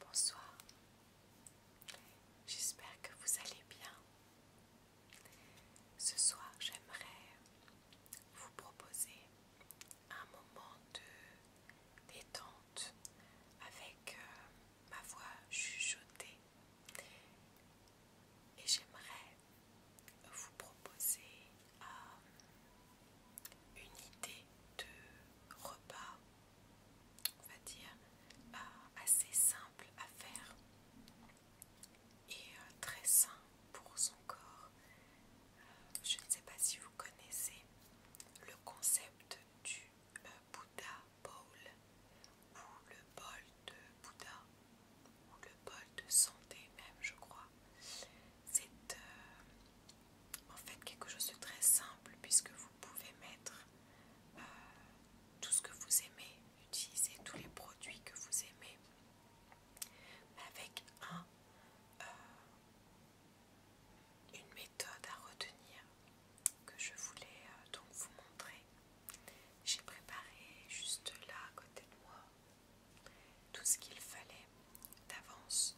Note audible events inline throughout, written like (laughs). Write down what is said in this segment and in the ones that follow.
Bonsoir, j'espère que vous allez bien. Ce soir, j'aimerais vous proposer un moment de détente avec euh, ma voix chuchotée et j'aimerais vous proposer euh, une idée de repas, on va dire, euh, assez simple à faire et euh, très sain pour son corps. je ne sais pas si vous connaissez le concept du Buddha Bouddha Bowl ou le bol de Bouddha ou le bol de santé même je crois. C'est euh, en fait quelque chose de très simple puisque vous pouvez mettre euh, tout ce que vous aimez, utiliser tous les produits que vous aimez, avec un, euh, une méthode à retenir que je voulais donc vous montrer. J'ai préparé juste là à côté de moi tout ce qu'il fallait d'avance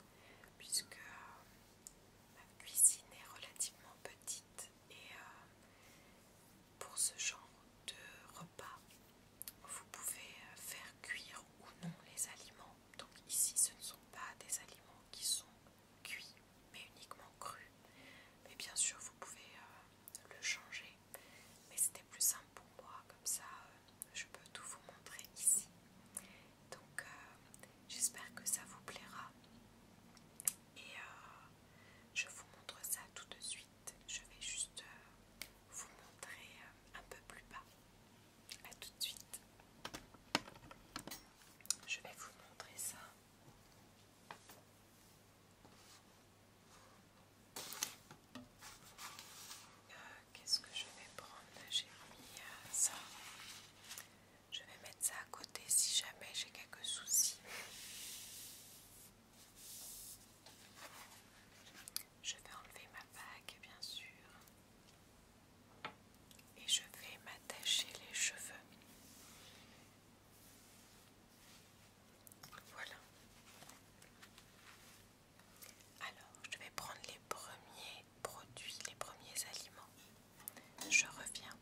puisque euh, ma cuisine est relativement petite et euh, pour ce genre de repas vous pouvez euh, faire cuire ou non les aliments. Donc ici ce ne sont pas des aliments qui sont cuits mais uniquement crus. Mais bien sûr vous pouvez le changer, mais c'était plus simple pour moi, comme ça euh, je peux tout vous montrer ici. Donc euh, j'espère que ça vous plaira et euh, je vous montre ça tout de suite. Je vais juste vous montrer un peu plus bas. à tout de suite. Je vais vous montrer ça. Euh, qu'est-ce que je vais prendre J'ai mis ça. Je vais mettre ça à côté si jamais j'ai quelques soucis. Je vais enlever ma bague, bien sûr. Et je vais m'attacher les cheveux. Voilà. Alors, je vais prendre les premiers produits, les premiers aliments. Je reviens.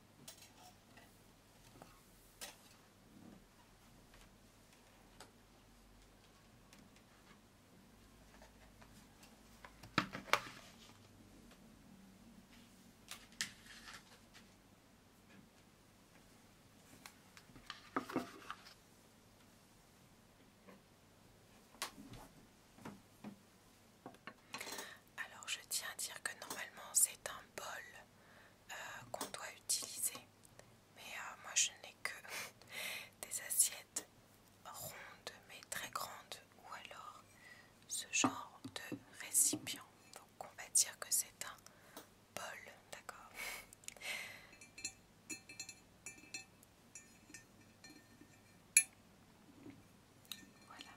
Alors je tiens à dire que normalement c'est un bol euh, qu'on doit utiliser, mais euh, moi je n'ai que (laughs) des assiettes rondes mais très grandes ou alors ce genre de récipient. Donc on va dire que c'est un bol, d'accord. Voilà.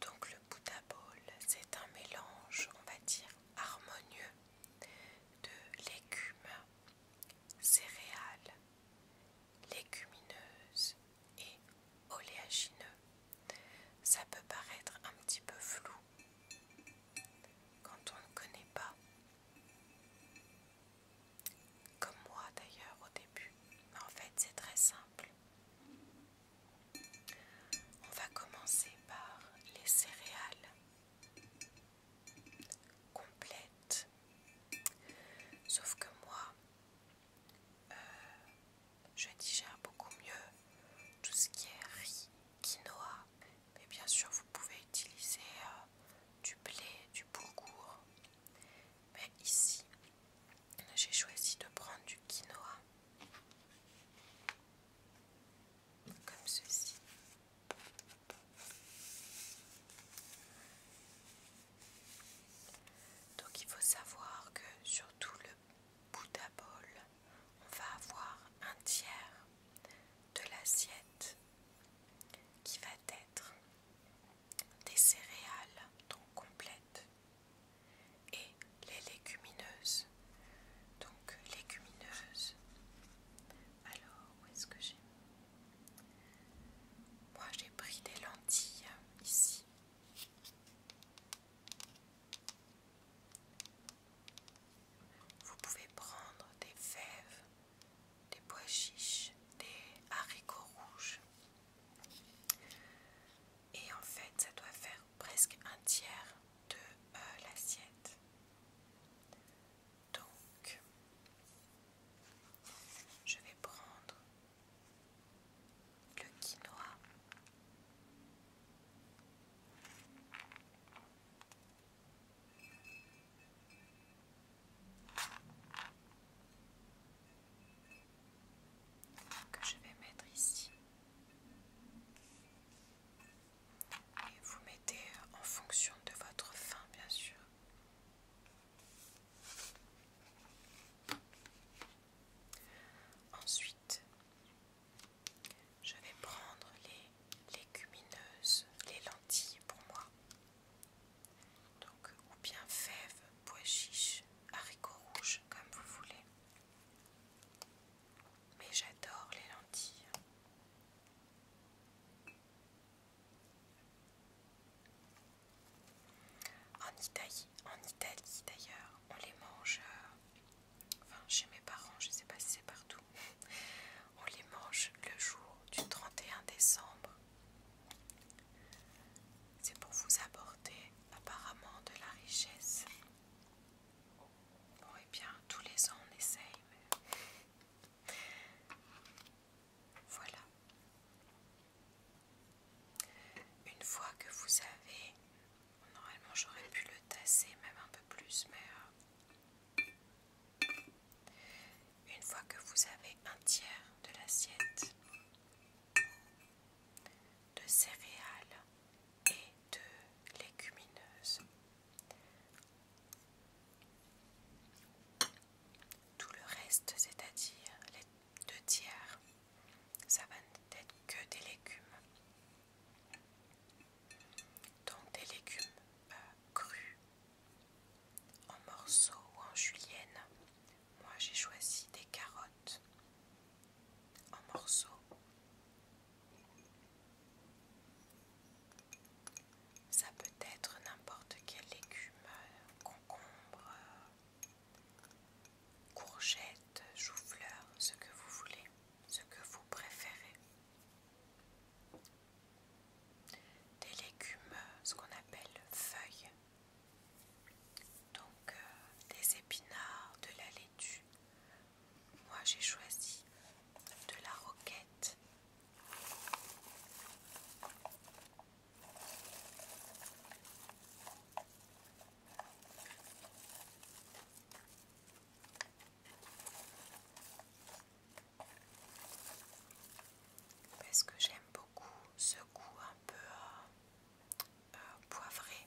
Donc le Bouddha bol, c'est un mélange, on va dire, harmonieux de légumes, céréales, légumineuses et oléagineux. Ça peut paraître un petit peu flou quand on ne connaît pas. Comme moi d'ailleurs au début. en fait c'est très simple. On va commencer par les céréales complètes. Sauf que moi, euh, je digère beaucoup mieux tout ce qui est riz, quinoa, mais bien sûr vous pouvez utiliser euh, du blé, du bourgour. Mais ici, j'ai choisi de prendre du quinoa, comme ceci. Donc il faut savoir que surtout le bout à bol, on va avoir un tiers de l'assiette qui va être des céréales, donc complètes, et les légumineuses. Donc légumineuses. Alors, où est-ce que j'ai Moi, j'ai pris des lentilles ici. Vous pouvez prendre des fèves, des pois chiches, des haricots rouges. Et en fait, ça doit faire presque un tiers de euh, l'assiette. Donc, je vais prendre le quinoa. Que je vais mettre ici, et vous mettez en fonction de votre faim, bien sûr. Ensuite, je vais prendre les légumineuses, les lentilles pour moi. Donc, ou bien fèves, pois chiches, haricots rouges, comme vous voulez. Mais j'adore les lentilles. En Italie, en Italie d'ailleurs on les mange euh, enfin chez mes parents je sais pas si c'est partout (laughs) on les mange le jour du 31 décembre c'est pour vous apporter apparemment de la richesse bon et eh bien tous les ans on essaye (laughs) voilà une fois que vous avez, normalement j'aurais pu le tasser même un peu plus, mais euh, une fois que vous avez un tiers de l'assiette de céréales et de légumineuses, tout le reste, c'est-à-dire les deux tiers, ça va peut-être que des légumes. Donc des légumes euh, crus, en morceaux ou en julienne. Moi j'ai choisi des carottes en morceaux. Ça peut être n'importe quel légume, euh, concombre, courgettes, chou-fleur, ce que vous voulez, ce que vous préférez. Des légumes, ce qu'on appelle feuilles. Donc euh, des épinards, de la laitue. Moi j'ai choisi de la roquette. Parce que j'aime beaucoup ce goût un peu euh, euh, poivré.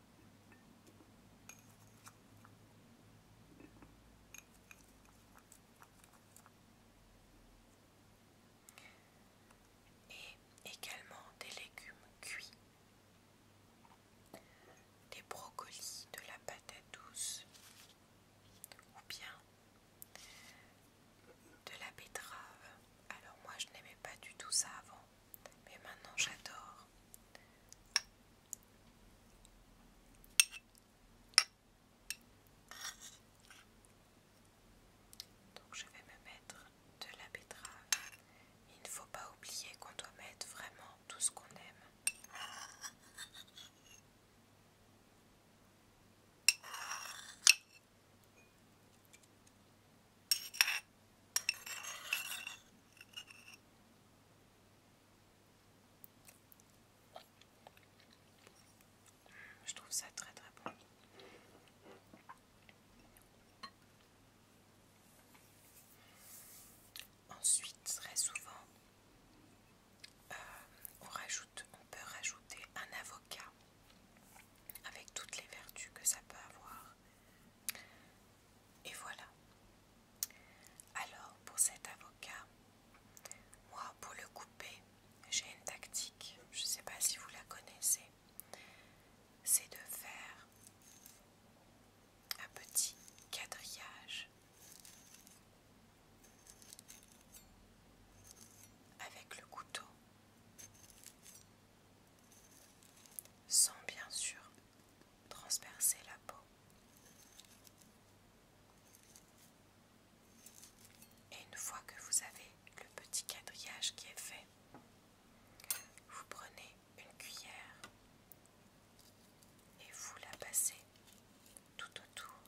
Et également des légumes cuits, des brocolis, de la patate douce ou bien de la betterave. Alors moi je n'aimais pas du tout ça avant mais maintenant j'adore. Donc je vais me mettre de la betterave. Il ne faut pas oublier qu'on doit mettre vraiment tout ce qu'on aime. Je trouve ça très très bon. Ensuite, très souvent, euh, on, rajoute, on peut rajouter un avocat avec toutes les vertus que ça peut avoir. Et voilà. Alors pour cet avocat, moi pour le couper, j'ai une tactique, je ne sais pas si vous la connaissez, c'est de faire un petit quadrillage avec le couteau sans bien sûr transpercer la peau et une fois que vous avez le petit quadrillage qui est fait vous prenez une cuillère et vous la passez tout autour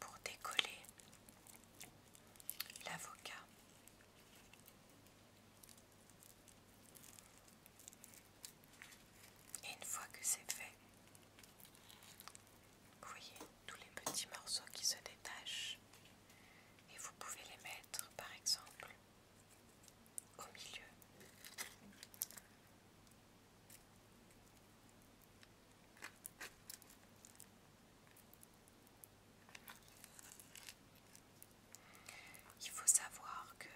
pour décoller l'avocat et une fois que c'est fait, voyez tous les petits morceaux qui se détachent et vous pouvez les mettre par exemple au milieu. Il faut savoir que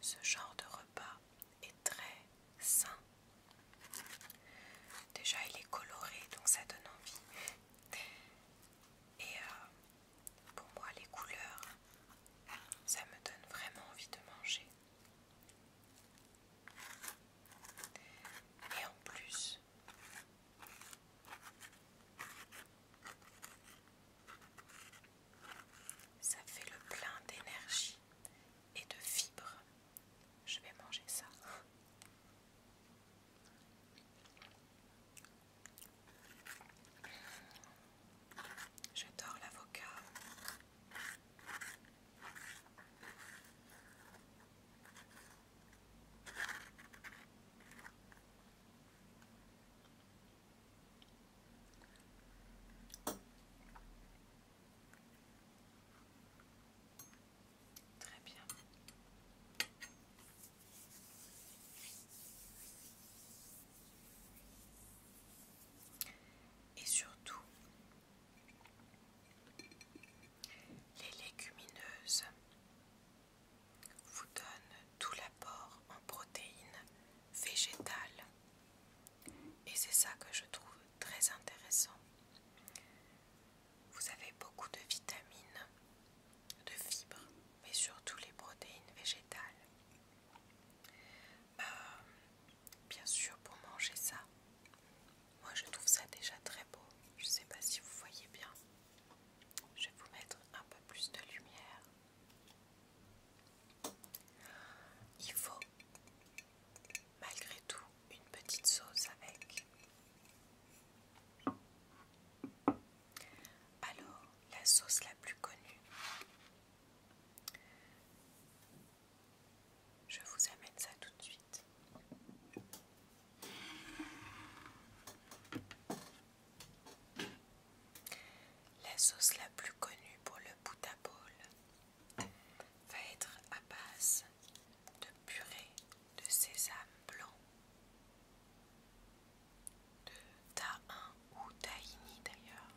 ce genre de repas est très sain. Déjà, il est coloré, donc ça donne envie. Et euh, pour moi, les couleurs, ça me donne vraiment envie de manger. Et en plus, ça fait le plein d'énergie et de fibres. Je vais manger ça. J'adore l'avocat. Très bien. Et surtout, les légumineuses vous donne tout l'apport en protéines végétales. Et c'est ça que je trouve très intéressant. Vous avez beaucoup de vitamines, de fibres, mais surtout les protéines végétales. Euh, bien sûr, pour manger ça, moi je trouve ça déjà très beau. Je ne sais pas si vous voyez bien. Je vais vous mettre un peu plus de lumière. Il faut malgré tout une petite sauce avec. Alors, la sauce la plus connue. Je vous amène ça tout de suite. La sauce la plus connue pour le bout à va être à base de purée de sésame blanc, de tahin ou tahini d'ailleurs.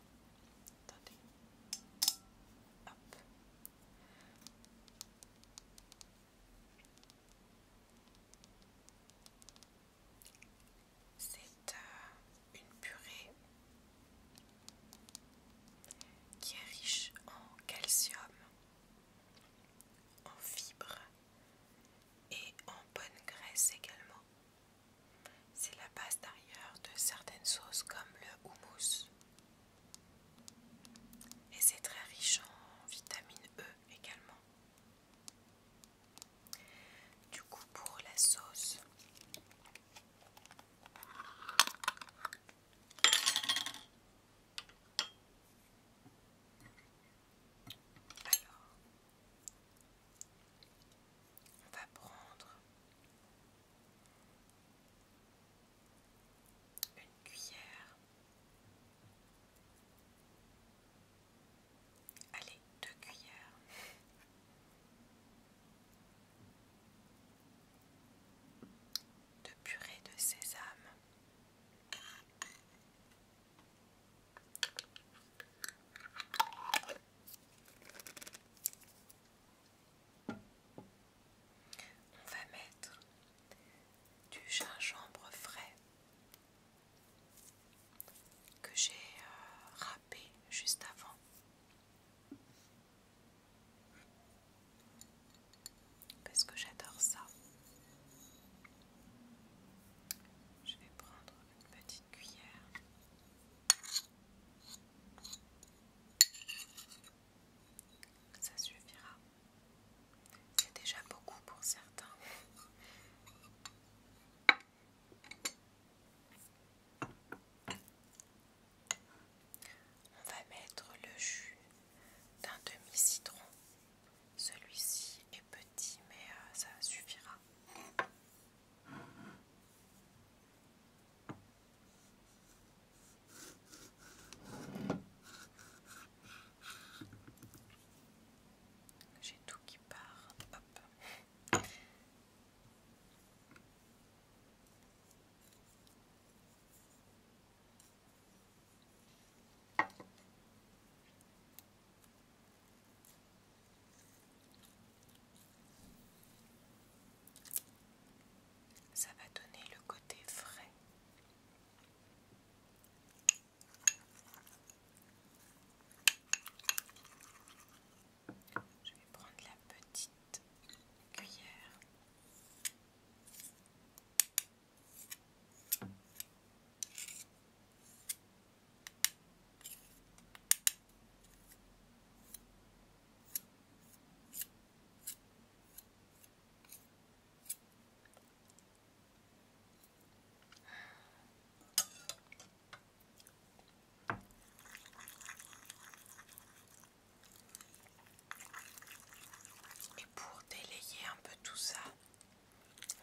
C'est euh, une purée qui est riche en calcium, en fibres et en bonne graisse également. C'est la base d'ailleurs de certaines sauces comme le houmous. Et c'est très riche en vitamine E également. Du coup, pour la sauce, alors on va prendre une cuillère Allez, deux cuillères. De purée de sésame. On va mettre du gingembre frais que j'ai euh, râpé juste avant. Parce que j'adore ça. Je vais prendre une petite cuillère. Ça suffira. C'est déjà beaucoup pour certains. On va mettre le jus d'un demi-citron. Celui-ci est petit mais euh, ça suffira. J'ai tout qui part. Ça va donner le côté frais. Je vais prendre la petite cuillère. Et pour délayer un peu tout ça,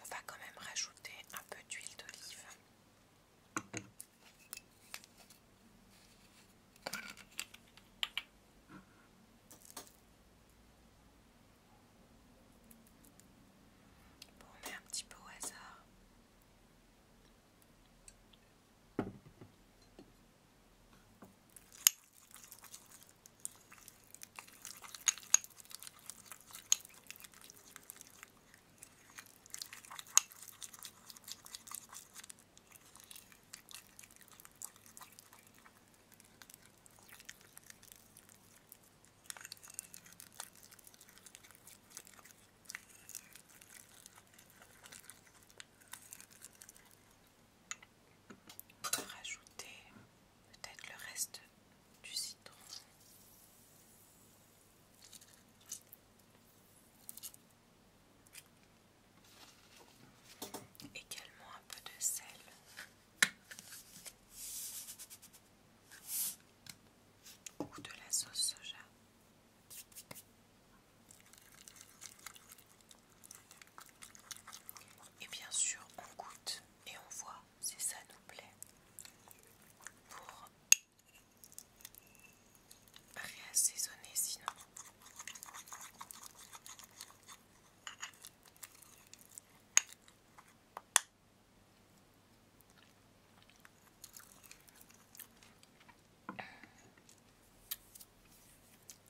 on va quand même rajouter un peu d'huile d'olive. Bon, mettre un petit peu au hasard. Rajouter peut-être le reste du citron. Également un peu de sel ou de la sauce soja. Et bien sûr, on goûte et on voit si ça nous plaît pour réassaisonner sinon.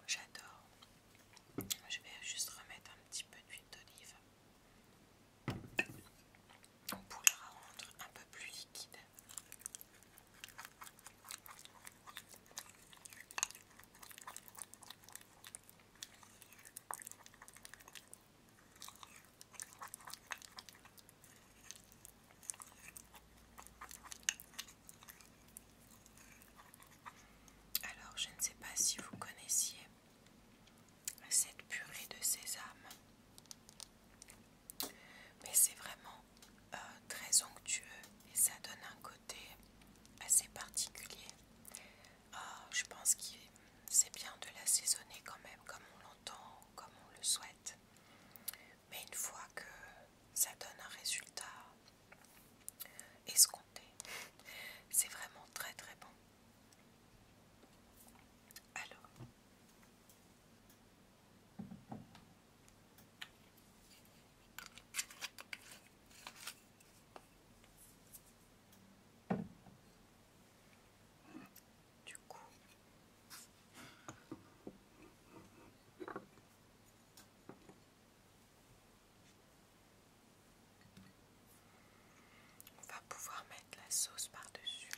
J'adore. Je vais juste remettre un petit peu d'huile d'olive. Pour la rendre un peu plus liquide. Alors, je ne sais pas si vous connaissiez cette purée de sésame, mais c'est vraiment euh, très onctueux et ça donne un côté assez particulier ah, je pense que c'est bien de l'assaisonner quand même, comme on l'entend, comme on le souhaite. Mais une fois que ça donne un résultat escompté, c'est vraiment très très bon. Alors, du coup on va pouvoir mettre la sauce par-dessus.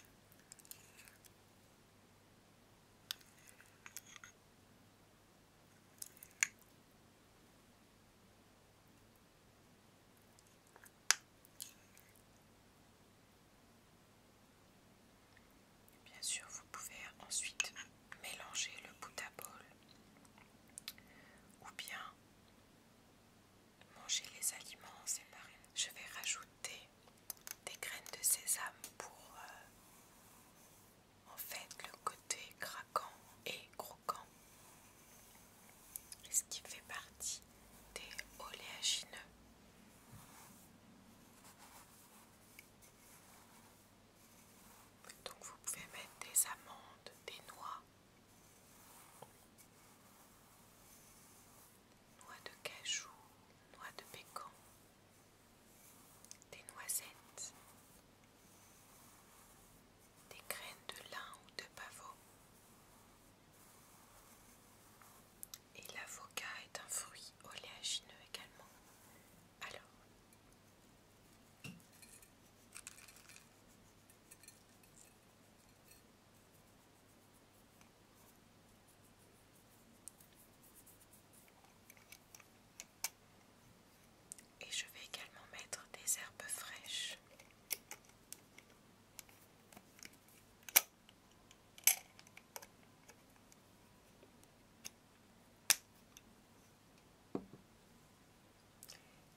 Bien sûr, vous pouvez ensuite mélanger le bout à bol ou bien manger les aliments séparés. Je vais rajouter des graines de sésame pour euh, en fait le côté craquant et croquant ce qui fait partie des oléagineux Donc vous pouvez mettre des amandes, des noix, noix de cajou, noix de bécan, des noisettes des graines de lin ou de pavot. Et l'avocat est un fruit oléagineux également. Alors, et je vais également mettre des herbes fraîches.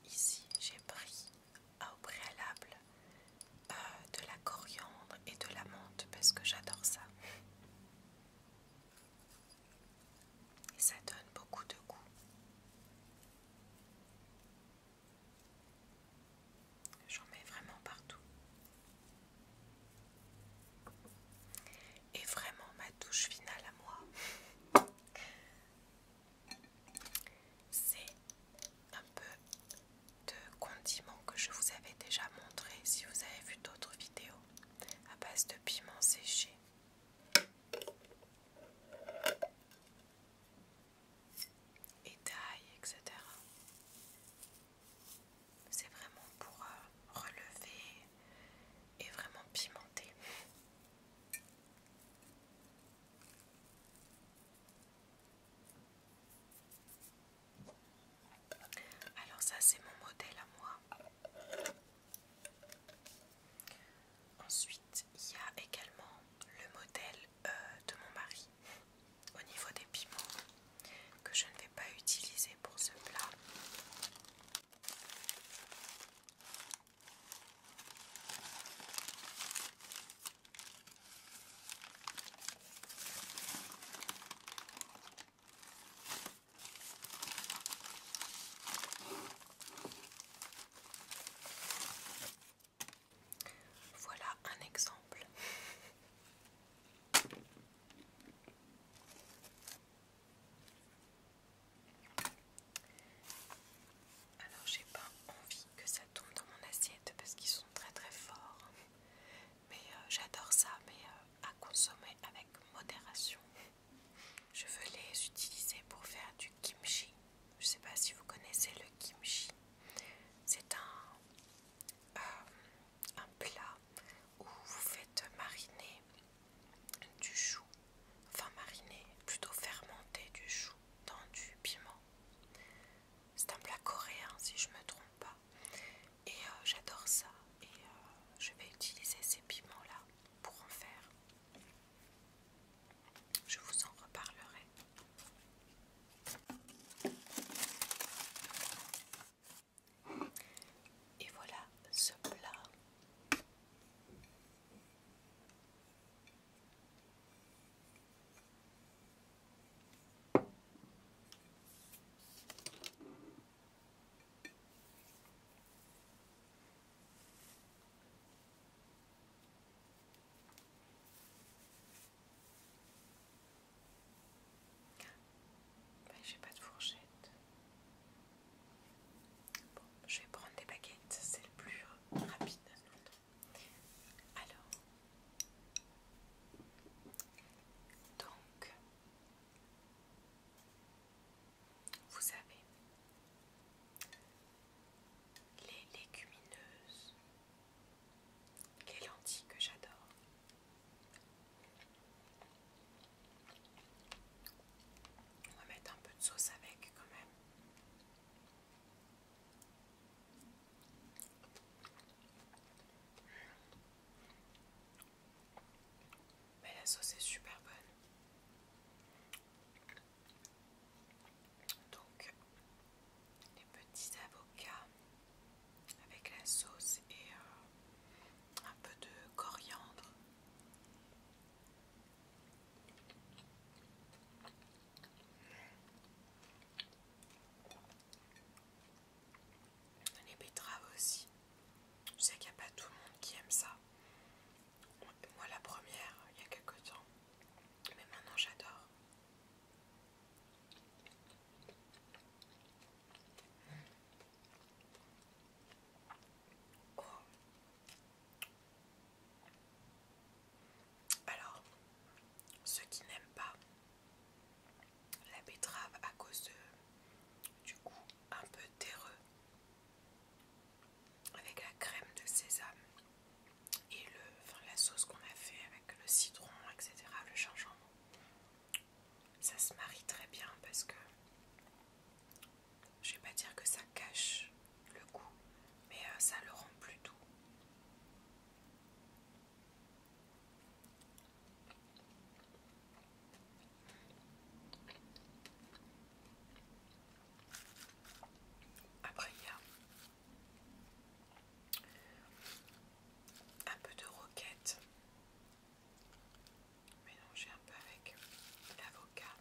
Ici, j'ai pris au préalable euh, de la coriandre et de la menthe parce que j'adore ça. Et ça donne beaucoup de goût. J'en mets vraiment partout. Et vraiment ma touche finale à moi, (laughs) c'est un peu de condiment que je vous avais déjà montré si vous avez vu d'autres vidéos à base de piment séché et taille, etc. C'est vraiment pour euh, relever et vraiment pimenter. Alors ça c'est mon modèle à moi. Ensuite, il y a également le modèle euh, de mon mari au niveau des piments que je ne vais pas utiliser pour ce plat. Voilà un exemple. Alors j'ai pas envie que ça tombe dans mon assiette parce qu'ils sont très très forts. Mais euh, j'adore ça, mais euh, à consommer avec modération. Je veux les utiliser pour faire du kimchi. Je ne sais pas si vous connaissez le kimchi. C'est un, euh, un plat où vous faites mariner du chou, enfin mariner, plutôt fermenter du chou dans du piment. C'est un plat coréen si je ne me trompe pas. Et euh, j'adore ça. Et euh, je vais utiliser ces piments là pour en faire je vous en reparlerai. Et voilà ce plat. Ben, j'ai pas de fourchette. Bon, je vais prendre des baguettes, c'est le plus rapide. Alors, donc, vous avez les légumineuses, les lentilles que j'adore. On va mettre un peu de sauce avec quand même. Mais ben, la sauce est super bonne. Donc les petits avocats avec la sauce et euh, un peu de coriandre. Les betteraves aussi. Je sais qu'il n'y a pas tout le monde qui aime ça. Moi la première, il y a quelque temps. Mais maintenant j'adore. Oh. Alors, ceux qui n'aiment pas la betterave à cause de, du goût un peu terreux, avec la crème de sésame et le, la sauce qu'on a fait avec le citron, etc. Le gingembre. Ça se marie très bien parce que je vais pas dire que ça cache le goût, mais euh, ça le rend plus doux. Après, il y a un peu de roquette mélangée un peu avec l'avocat.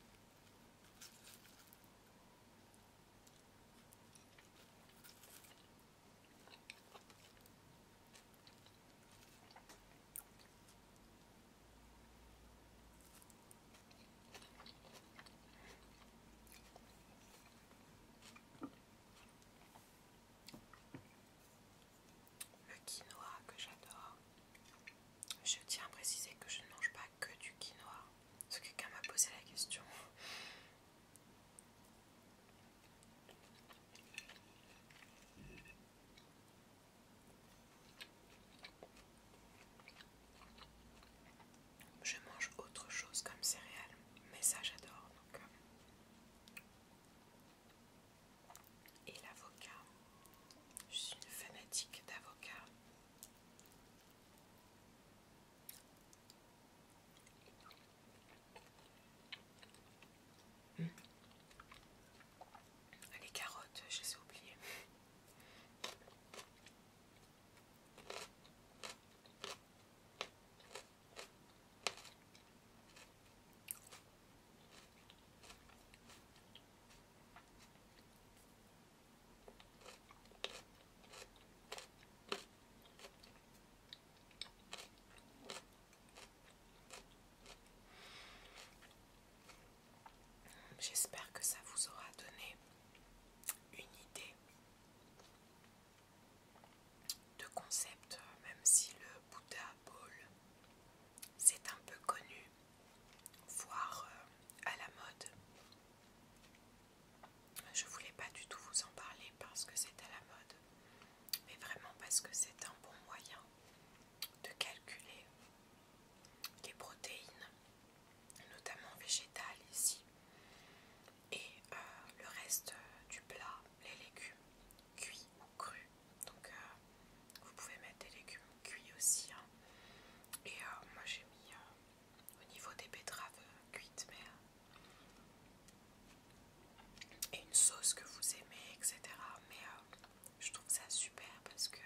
Le quinoa que j'adore. Je tiens à préciser que je ne mange pas que du quinoa. Parce que quelqu'un m'a posé la question. Je mange autre chose comme céréales, mais ça j'adore. Euh. Et l'avocat, je suis une fanatique d'avocat. Hmm. Les carottes, je les ai oubliées. J'espère que ça vous aura donné une idée de concept, même si le Bouddha Ball c'est un peu connu, voire euh, à la mode. Je voulais pas du tout vous en parler parce que c'est à la mode, mais vraiment parce que c'est un bon moyen de calculer les protéines notamment végétal ici, et euh, le reste euh, du plat, les légumes cuits ou crus. Donc euh, vous pouvez mettre des légumes cuits aussi. Hein. Et moi j'ai mis au niveau des betteraves cuites, mais et une sauce que vous aimez, etc. Mais je trouve ça super parce que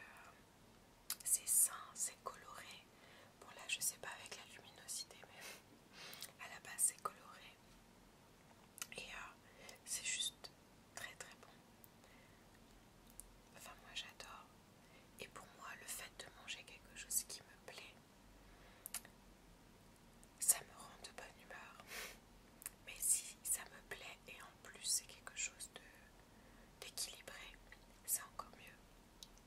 c'est sain, c'est coloré. Bon là je sais pas avec la luminosité mais à la base c'est coloré. Et euh, c'est juste très très bon. Enfin moi j'adore. Et pour moi le fait de manger quelque chose qui me plaît, ça me rend de bonne humeur. Mais si ça me plaît et en plus c'est quelque chose d'équilibré, c'est encore mieux.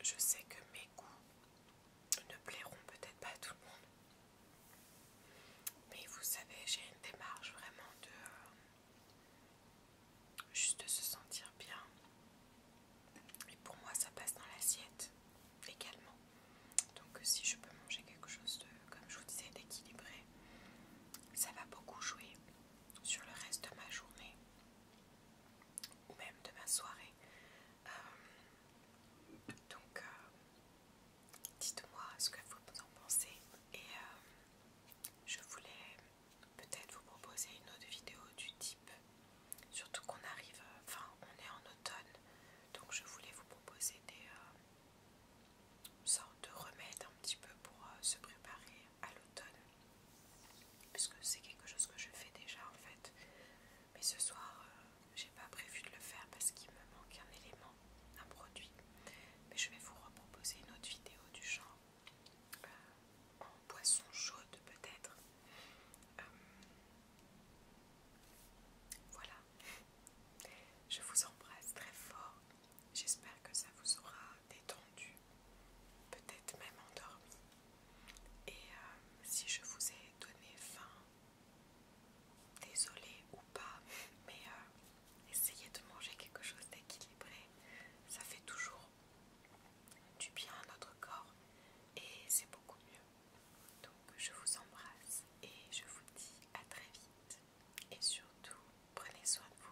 Je sais que mes goûts ne plairont peut-être pas à tout le monde. Mais vous savez, j'ai une démarche vraiment de... Euh, juste se sentir bien. Et pour moi, ça passe dans l'assiette également. Donc euh, si je peux manger quelque chose de, comme je vous disais, d'équilibré, ça va beaucoup jouer sur le reste de ma journée ou même de ma soirée. Euh, donc, euh, dites-moi ce que vous en pensez et euh, je voulais peut-être vous proposer une autre vidéo du type, surtout qu'on arrive, enfin on est en automne, donc je voulais vous proposer des sortes de remèdes un petit peu pour se préparer à l'automne puisque c'est quelque chose que je fais déjà en fait. Mais ce soir, euh, j'ai pas prévu de le faire parce qu'il me manque un élément, un produit. Mais je vais vous reproposer une autre vidéo du genre euh, en poisson chaude peut-être. Euh, voilà. Je vous embrasse très fort. J'espère que ça vous aura détendu, peut-être même endormi. Et euh, si je vous ai donné faim, désolé ou pas, mais euh, essayez de manger quelque chose d'équilibré. Ça fait toujours du bien à notre corps et c'est beaucoup mieux. Donc je vous embrasse et je vous dis à très vite. Et surtout, prenez soin de vous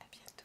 à bientôt.